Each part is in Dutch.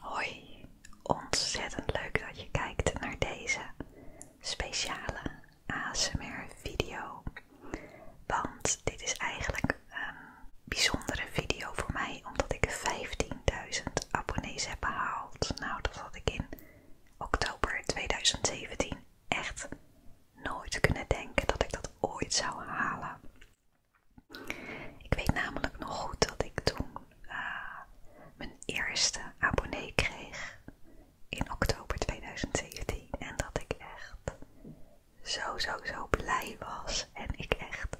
Hoi, ontzettend leuk dat je kijkt naar deze speciale ASMR video. Want dit is eigenlijk een bijzondere video voor mij omdat ik 15.000 abonnees heb behaald. Nou, dat had ik in oktober 2017 echt nooit kunnen denken dat ik dat ooit zou halen. Ik weet namelijk nog goed dat ik toen eh, mijn eerste abonnee kreeg in oktober 2017 en dat ik echt zo, zo, zo blij was en ik echt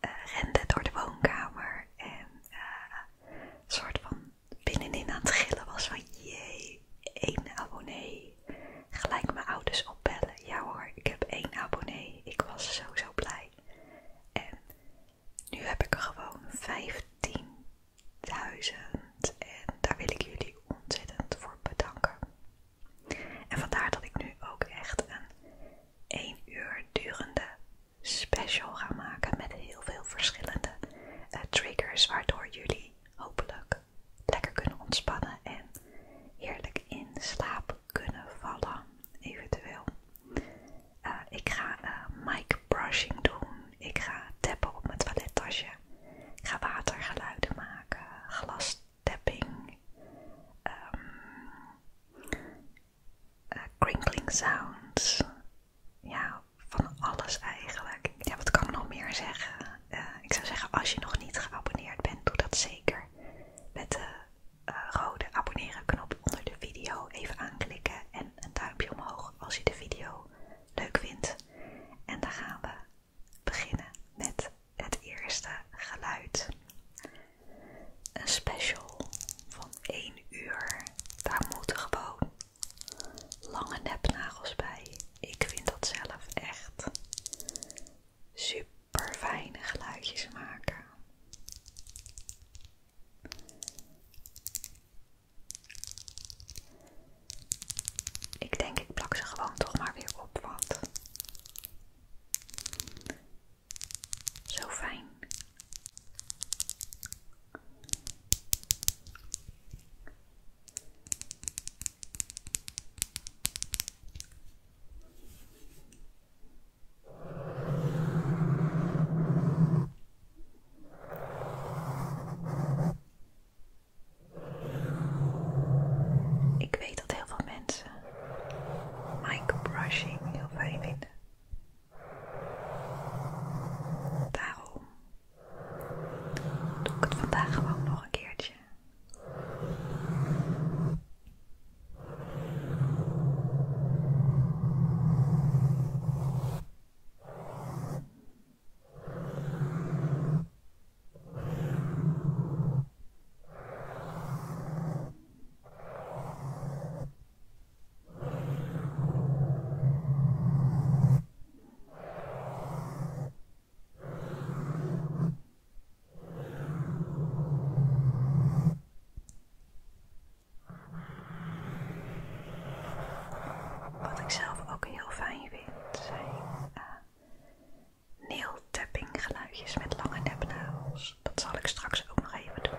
eh, rende door de woonkamer en eh, een soort van binnenin aan het gillen was van jee, één abonnee. Gelijk mijn ouders opbellen. Ja hoor, ik heb één abonnee. Ik was zo zo blij. En nu heb ik er gewoon 15.000 en daar wil ik jullie ontzettend voor bedanken. En vandaar dat ik nu ook echt een 1 uur durende special ga maken met heel veel verschillende eh, triggers waardoor jullie hopelijk lekker kunnen ontspannen en heerlijk in slaap kunnen vallen, eventueel. Eh, ik ga eh, mic brushing doen, ik ga tappen op mijn toilettasje, ik ga watergeluiden maken, glastapping, ehm, eh, crinkling sounds, ja, van alles eigenlijk. Ja, wat kan ik nog meer zeggen? Eh, ik zou zeggen, als je nog niet geabonneerd bent, doe dat zeker. Met de eh, rode abonneren knop onder de video even aanklikken en een duimpje omhoog als je de video leuk vindt. En dan gaan we beginnen met het eerste geluid. Een special van 1 uur. Daar moeten we gewoon lange nepnagels bij. Ik vind dat zelf echt super fijne geluidjes maken. Ik denk ik plak ze gewoon toch maar weer op, want zo fijn. Ik weet dat heel veel mensen brushing heel fijn vinden. Daarom Doe ik het vandaag gewoon nog een keertje. Wat ik zelf ook heel fijn vind zijn uh, eh, nail geluidjes met lange nepnagels. Dat zal ik straks ook nog even doen.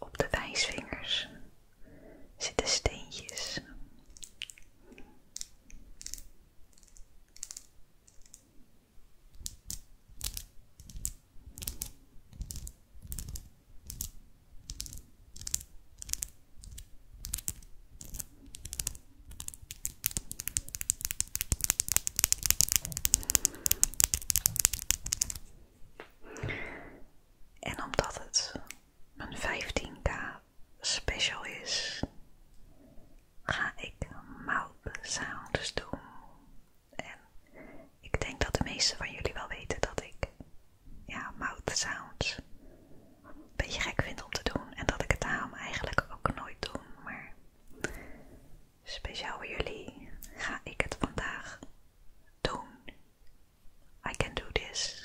Op de wijsvingers zitten steentjes. En omdat het mijn 15k special is, ga ik mouth sounds doen. En ik denk dat de meesten van jullie wel weten dat ik ja, mouth sounds een beetje gek vind om te doen. En dat ik het daarom eigenlijk ook nooit doe. Maar speciaal voor jullie ga ik het vandaag doen. I can do this.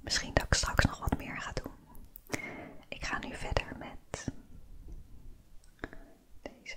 Misschien dat ik straks nog wat meer ga doen. Ik ga nu verder met deze.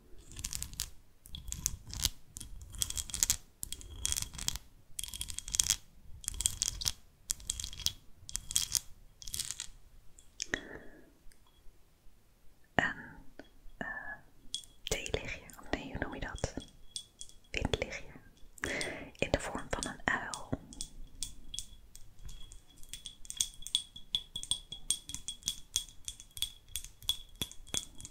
En uh, theelichtje, of nee, hoe noem je dat? Windlichtje. In de vorm van een uil.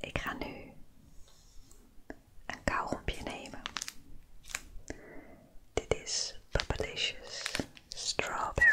Ik ga nu een kauwgomje nemen. Dit is Papalicious Strawberry.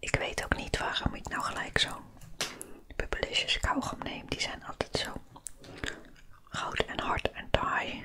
Ik weet ook niet waarom ik nou gelijk zo'n bubbelisjes kauwgom neem. Die zijn altijd zo goud en hard en taai.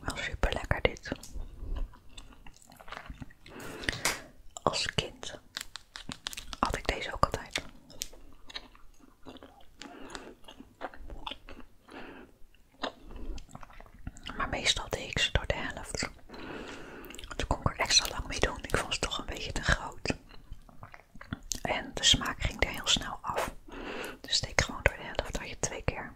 Wel super lekker dit. Als kind had ik deze ook altijd. Maar meestal deed ik ze door de helft. Toen kon ik er extra lang mee doen. Ik vond ze toch een beetje te groot. En de smaak ging er heel snel af. Dus steek gewoon door de helft dat je twee keer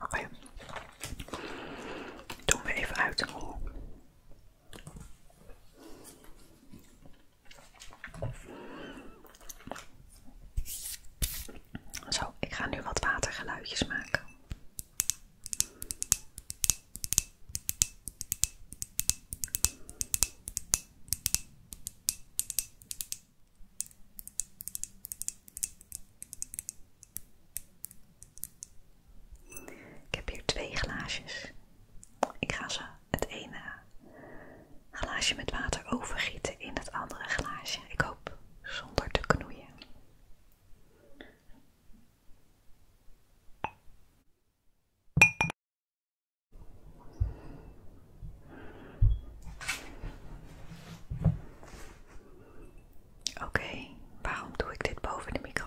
Oh Doen we even uit Zo, ik ga nu wat watergeluidjes maken. Ik heb hier twee glaasjes. Ik ga ze het ene glaasje met water overgieten in het andere glaasje. Ik hoop zonder te knoeien. Oké, waarom doe ik dit boven de microfoon?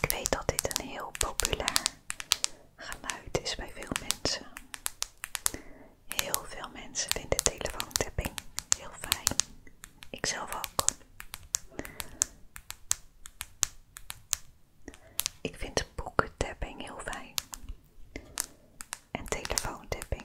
Ik weet dat dit een heel populair geluid is bij veel mensen. Heel veel mensen vinden telefoontapping heel fijn. Ikzelf ook. Ik vind boekentapping heel fijn. En telefoontapping.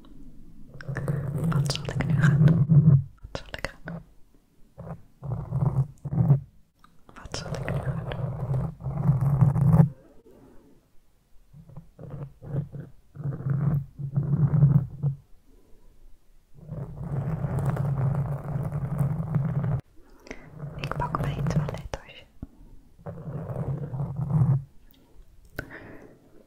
Wat zal ik nu gaan Wat zal ik gaan Wat zal ik nu Ik pak mijn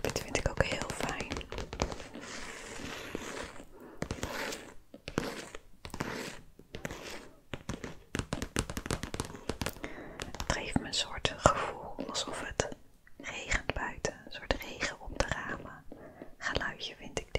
Dit vind ik ook heel fijn. Het geeft me een soort gevoel alsof het regent buiten, een soort regen om de ramen. Geluidje vind ik dit.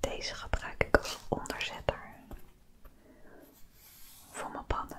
Deze gebruik ik als onderzetter voor mijn pannen.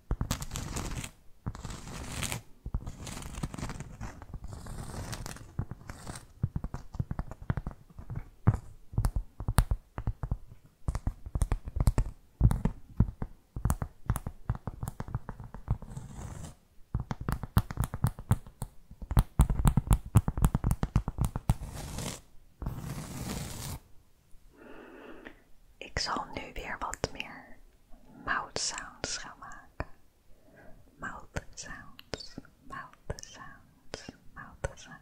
Ik zal nu weer wat meer mouth sounds gaan maken. Mouth sounds, mouth sounds, mouth sounds.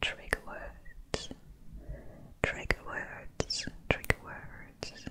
Trigger words, trigger words, trigger words.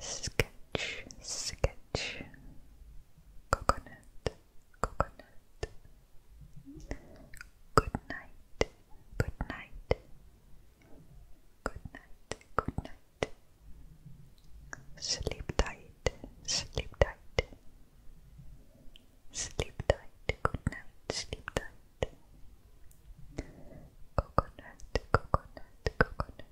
sketch, sketch, coconut, coconut, good night, good night, good night, good night, sleep tight, sleep tight, sleep tight, good night, sleep tight. Coconut, coconut, coconut,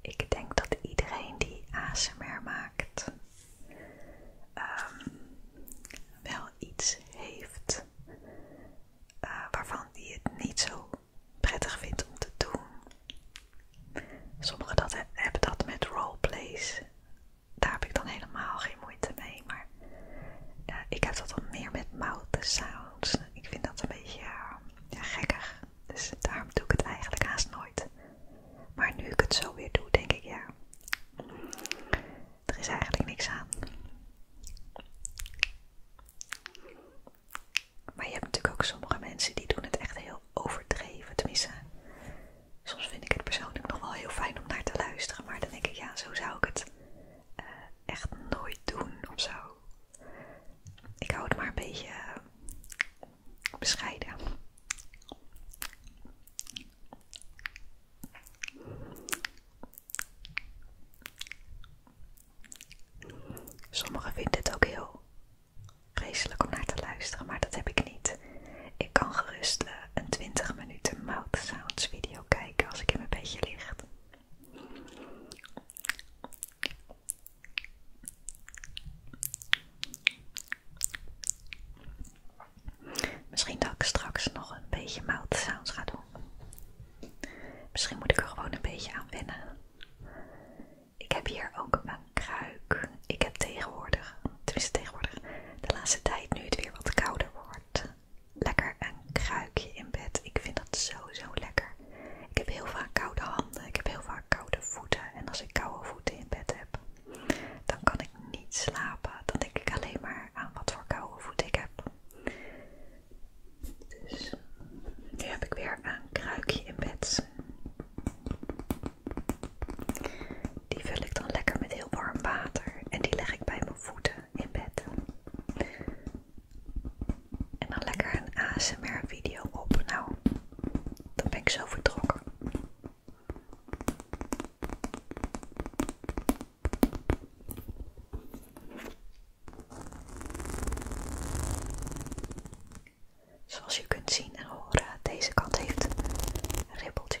Ik denk dat iedereen die ASMR maakt ehm, wel iets heeft eh, waarvan die het niet zo prettig vindt om te doen. Sommigen hebben dat met roleplays. Daar heb ik dan helemaal geen moeite mee, maar eh, ik heb dat dan meer met mouth ik vind dat een beetje gekkig. Dus daarom doe ik het eigenlijk haast nooit. Maar nu ik het zo weer doe, denk ik ja. Er is eigenlijk niks aan. Maar je hebt natuurlijk ook sommige mensen die doen het echt heel overdreven. Tenminste, soms vind ik het persoonlijk nog wel heel fijn om naar te luisteren. Maar dan denk ik, ja, zo zou ik het eh, echt nooit doen of zo. Ik hou het maar een beetje eh, bescheiden. Sommigen vinden het ook heel vreselijk om naar te luisteren, maar dat heb ik niet. Ik kan gerust eh, een 20 minuten mouth video kijken als ik in mijn bedje ligt. Misschien dat ik straks nog een beetje mouth sounds ga doen. Misschien moet ik er gewoon een beetje aan wennen. Ik heb hier ook een kruik. Ik heb tegenwoordig, tenminste tegenwoordig, de laatste tijd nu het weer wat kouder wordt, lekker een kruikje in bed. Ik vind dat sowieso lekker. Ik heb heel vaak koude handen, ik heb heel vaak koude voeten. En als ik koude voeten in bed heb, dan kan ik niet slapen. Dan denk ik alleen maar aan wat voor koude voeten ik heb. Dus nu heb ik weer een kruikje in bed. Die vul ik dan lekker met heel warm water en die leg ik bij mijn voeten. En dan lekker een ASMR video op. Nou, dan ben ik zo vertrokken. Zoals je kunt zien en deze kant heeft ribbeltjes.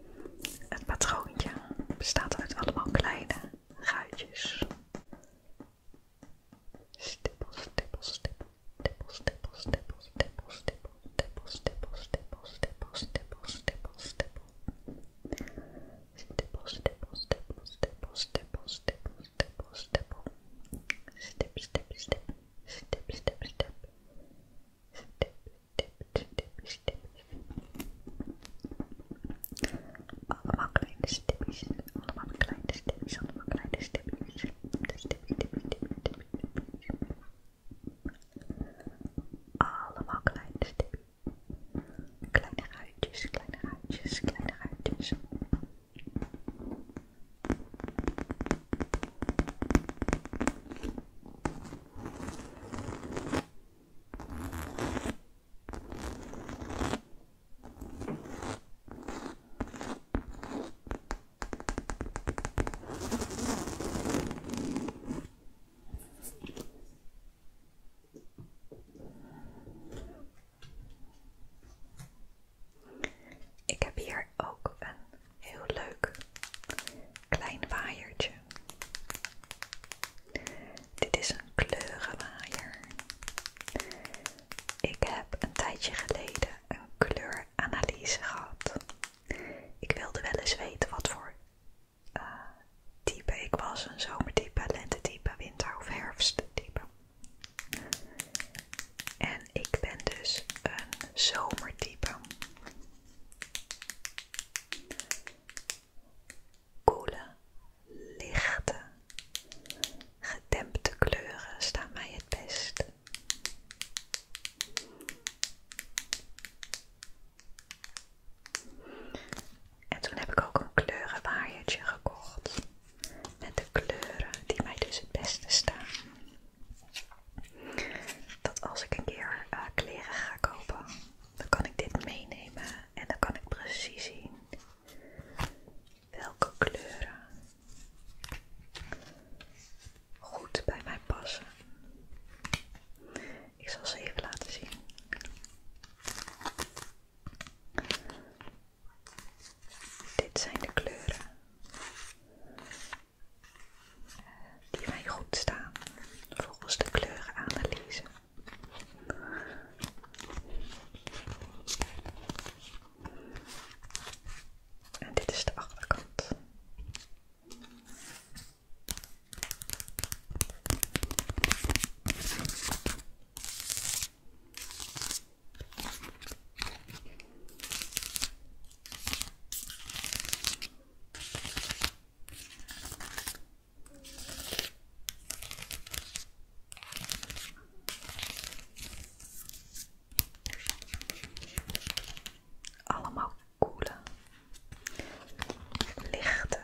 Het patroontje bestaat uit allemaal kleine ruitjes. Stippel, stippel, stippel, stippel, stippel, stippel, stippel, stippel, stippel, stippel, stippel, stippel, stippel, stippel, stippel. Stippel, stippel, stippel, stippel, stippel, stippel, stippel, stippel. Stip, stip, stip, stip, stip, stip. Stip, allemaal kleine stipjes, allemaal kleine stipjes, allemaal kleine stipjes. allemaal kleine stipjes, Allemaal kleine stipjes. Kleine ruitjes, kleine ruitjes, kleine uitjes. Ik heb hier ook een heel leuk klein waaiertje. Dit is een kleurenwaaier. Ik heb een tijdje geleden een kleuranalyse gehad. Ik wilde wel eens weten wat voor eh, type ik was: een zomertype, lentetype, winter- of herfsttype. En ik ben dus een zomertype. Koele, lichte, gedempte kleuren staan mij het best. En toen heb ik ook een kleurenwaaiertje gekocht met de kleuren die mij dus het beste staan dat als ik een keer eh, kleren ga kopen, dan kan ik dit meenemen en dan kan ik precies zien welke kleuren goed bij mij passen. Ik zal ze even laten zien. Dit zijn de kleuren die mij goed staan volgens de kleurenanalyse. En dit is de achterkant. Allemaal koele, lichte,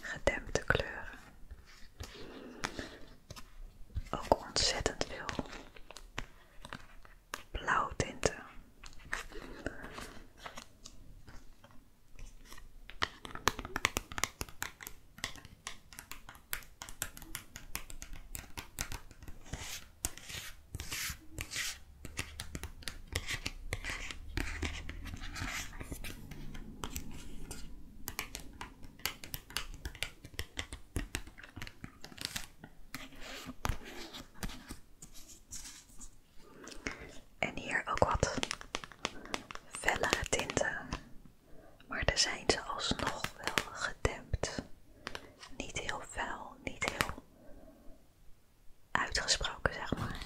gedempte kleuren. Ook ontzettend veel blauw tinten. En hier ook wat fellere tinten. Maar daar zijn ze alsnog wel gedempt. Niet heel fel, niet heel uitgesproken, zeg maar.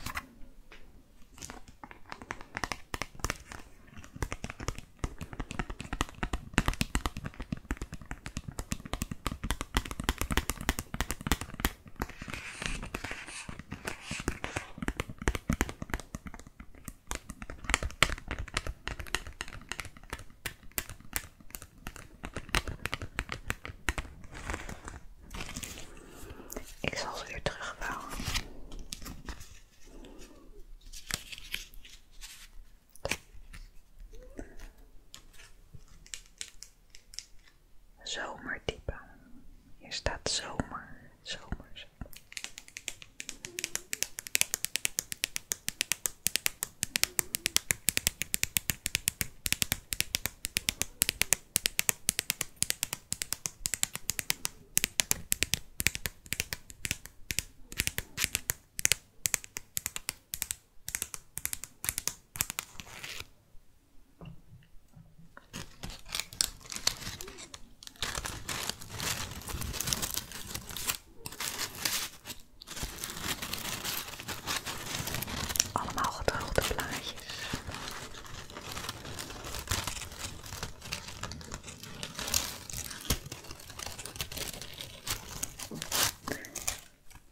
Ik zal ze weer terugbouwen. Zomer Zomertype. Hier staat zomer, zomer, zomer. Allemaal gedroogde plaatjes.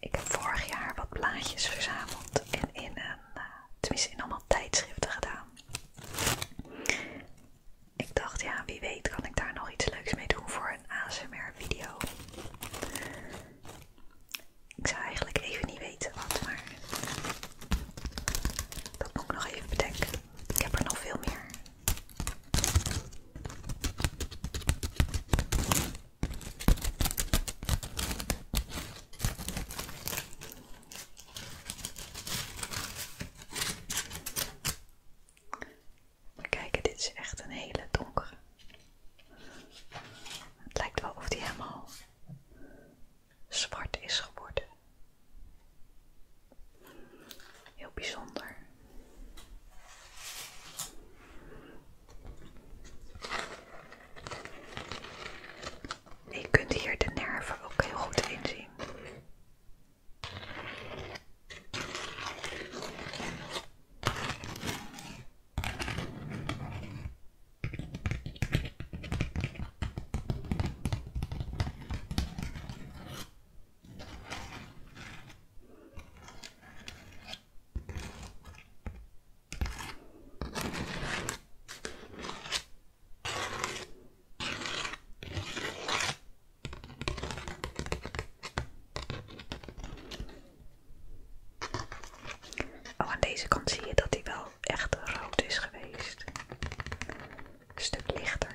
Ik heb vorig jaar wat blaadjes verzameld en in een, eh, tenminste in allemaal tijdschriften gedaan. Ik dacht, ja, wie weet kan ik daar nog iets leuks mee doen voor een ASMR-video. Ik zou eigenlijk even niet weten wat, maar dat moet ik nog even bedenken. Ik heb er nog veel meer kijk, dit is echt een hele donkere. Het lijkt wel of die helemaal zwart is geworden. Heel bijzonder. Je kunt hier de nerven ook heel goed in zien. Oh, aan deze kant zie je dat hij wel echt rood is geweest. stuk lichter.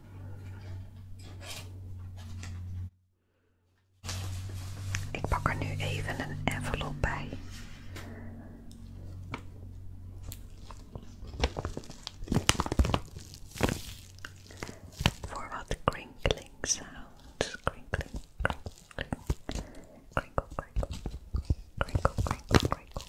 Ik pak er nu even een envelop bij. Voor wat crinkling sounds. Crinkling, crinkling, krinkel, krinkel, krinkel, krinkel, krinkel.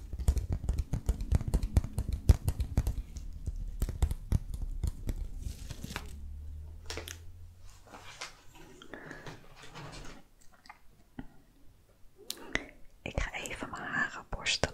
Ik ga even mijn haar borstelen.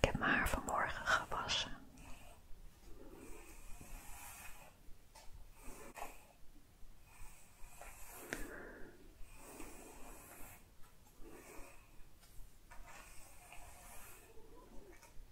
Ik heb mijn haar vanmorgen gewassen.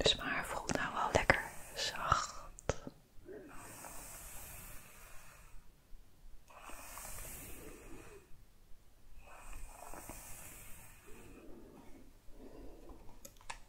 Is dus maar voelt nou wel lekker zacht.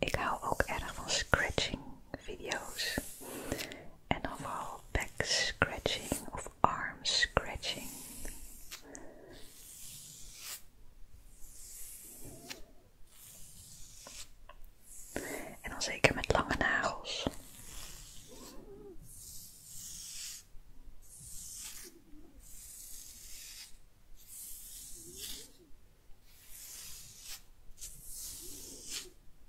Ik hou ook erg van scratching video's en dan vooral back scratching Arms scratching. En dan zeker met lange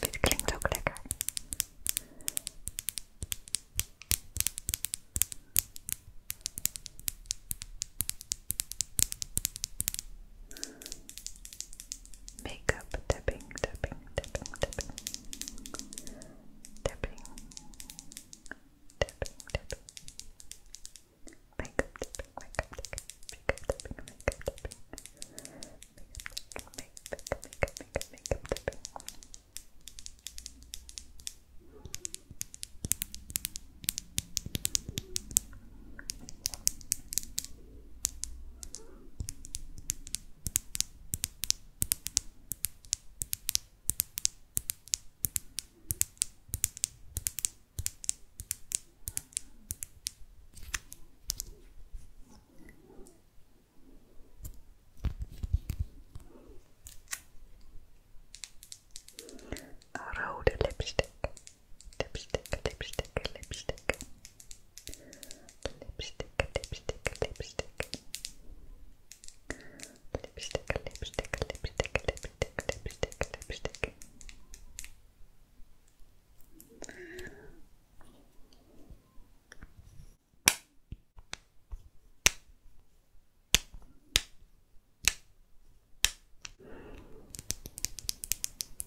Dit klinkt ook lekker. Makeup tapping, tapping, tapping, tapping, tapping, tapping, tapping. tapping, makeup tapping, makeup tapping, makeup tapping, makeup, makeup, makeup, makeup, makeup tapping. Rode lipstick, lipstick, lipstick, lipstick. Lipstick, lipstick, lipstick. Lipstick, lipstick, lipstick, lipstick, lipstick, lipstick.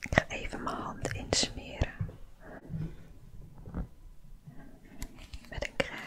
Ik ga even mijn hand insmeren met de crème.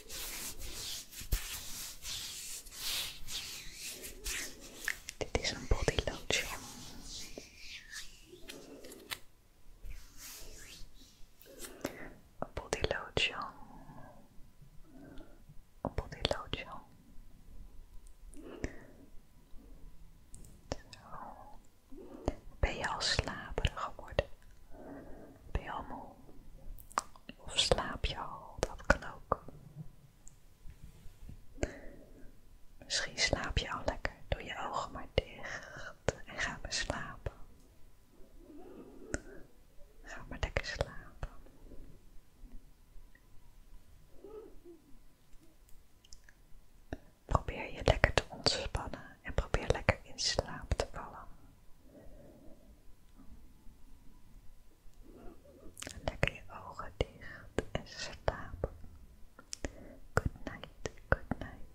Dit is een body lotion. Een body lotion. Een body lotion. Ben je al slaperig geworden? Ben je al moe? Of slaap je al? Dat kan ook. Misschien slaap je al lekker. Doe je ogen maar dicht en ga maar slapen. Ga maar lekker slapen. Probeer je lekker te ontspannen en probeer lekker in slaap te vallen. Lekker je ogen dicht en slaap. Good night, good night.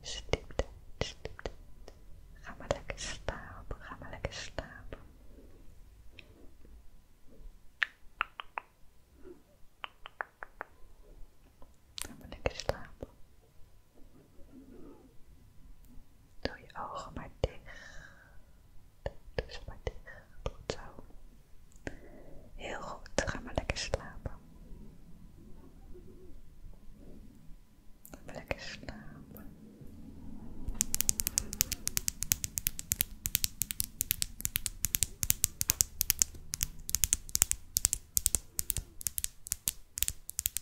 Stieptijd, stieptijd. Ga maar lekker slapen, ga maar lekker slapen. Ga maar lekker slapen. Doe je ogen maar dicht. Doe ze maar dicht. Goed zo. Heel goed. Ga maar lekker slapen. lekker slapen.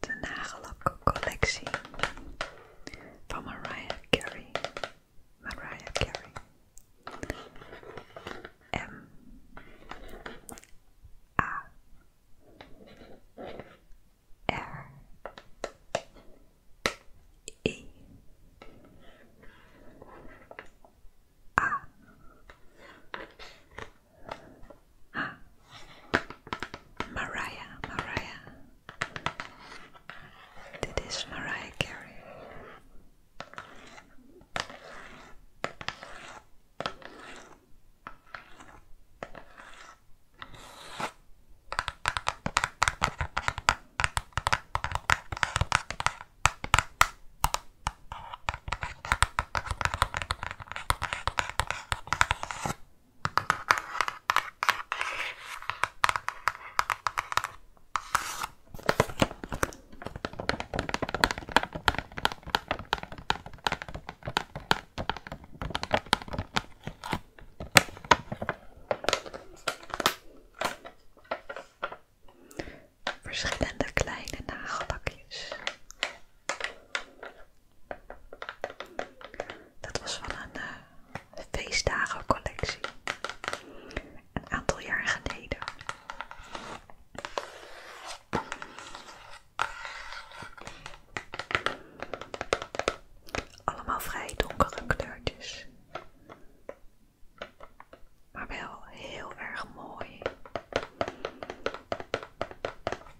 de collectie van Mariah Carey. Mariah Carey. M. A. R. I e. A. Ah. Mariah, Mariah. That is Mariah Carey. Verschillende kleine nagelbakjes. Dat was van een uh, feestdagencollectie. Een aantal jaar geleden. Allemaal vrij donkere kleurtjes. Maar wel heel erg mooi.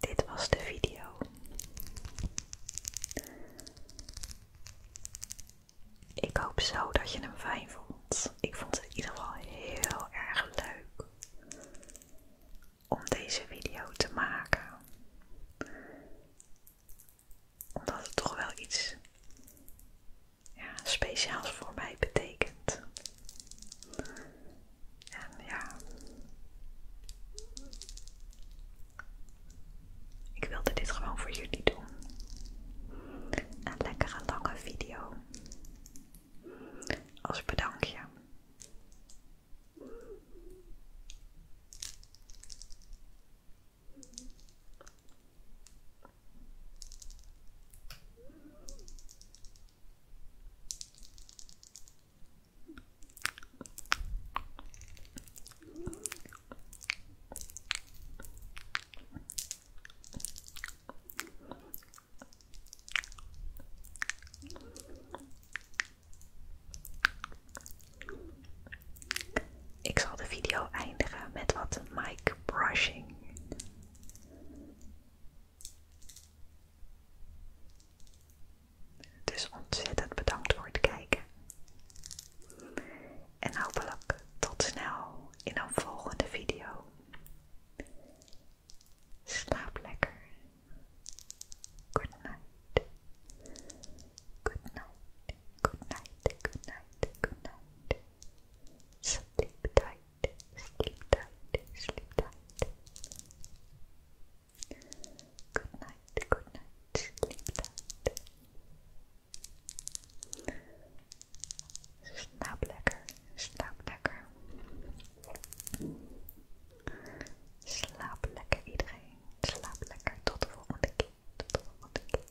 Dit was de video. Ik hoop zo dat je hem fijn vond. Ik vond het in ieder geval heel erg leuk om deze video te maken. Omdat het toch wel iets ja, speciaals voor mij betekent. En ja, ik wilde dit gewoon voor jullie doen. Een lange video. Als bedankje. Ik zal de video eindigen met wat mic brushing. Dus ontzettend bedankt voor het kijken. En hopelijk tot snel in een volgende video. Slaap lekker. Good night. Good night. Good night. Good night. Good night. Sleep sleep tight, sleep tight. Good night, good night, sleep tight. Slaap lekker, slaap lekker. Slaap lekker iedereen, slaap lekker. Tot de volgende keer, tot de volgende keer.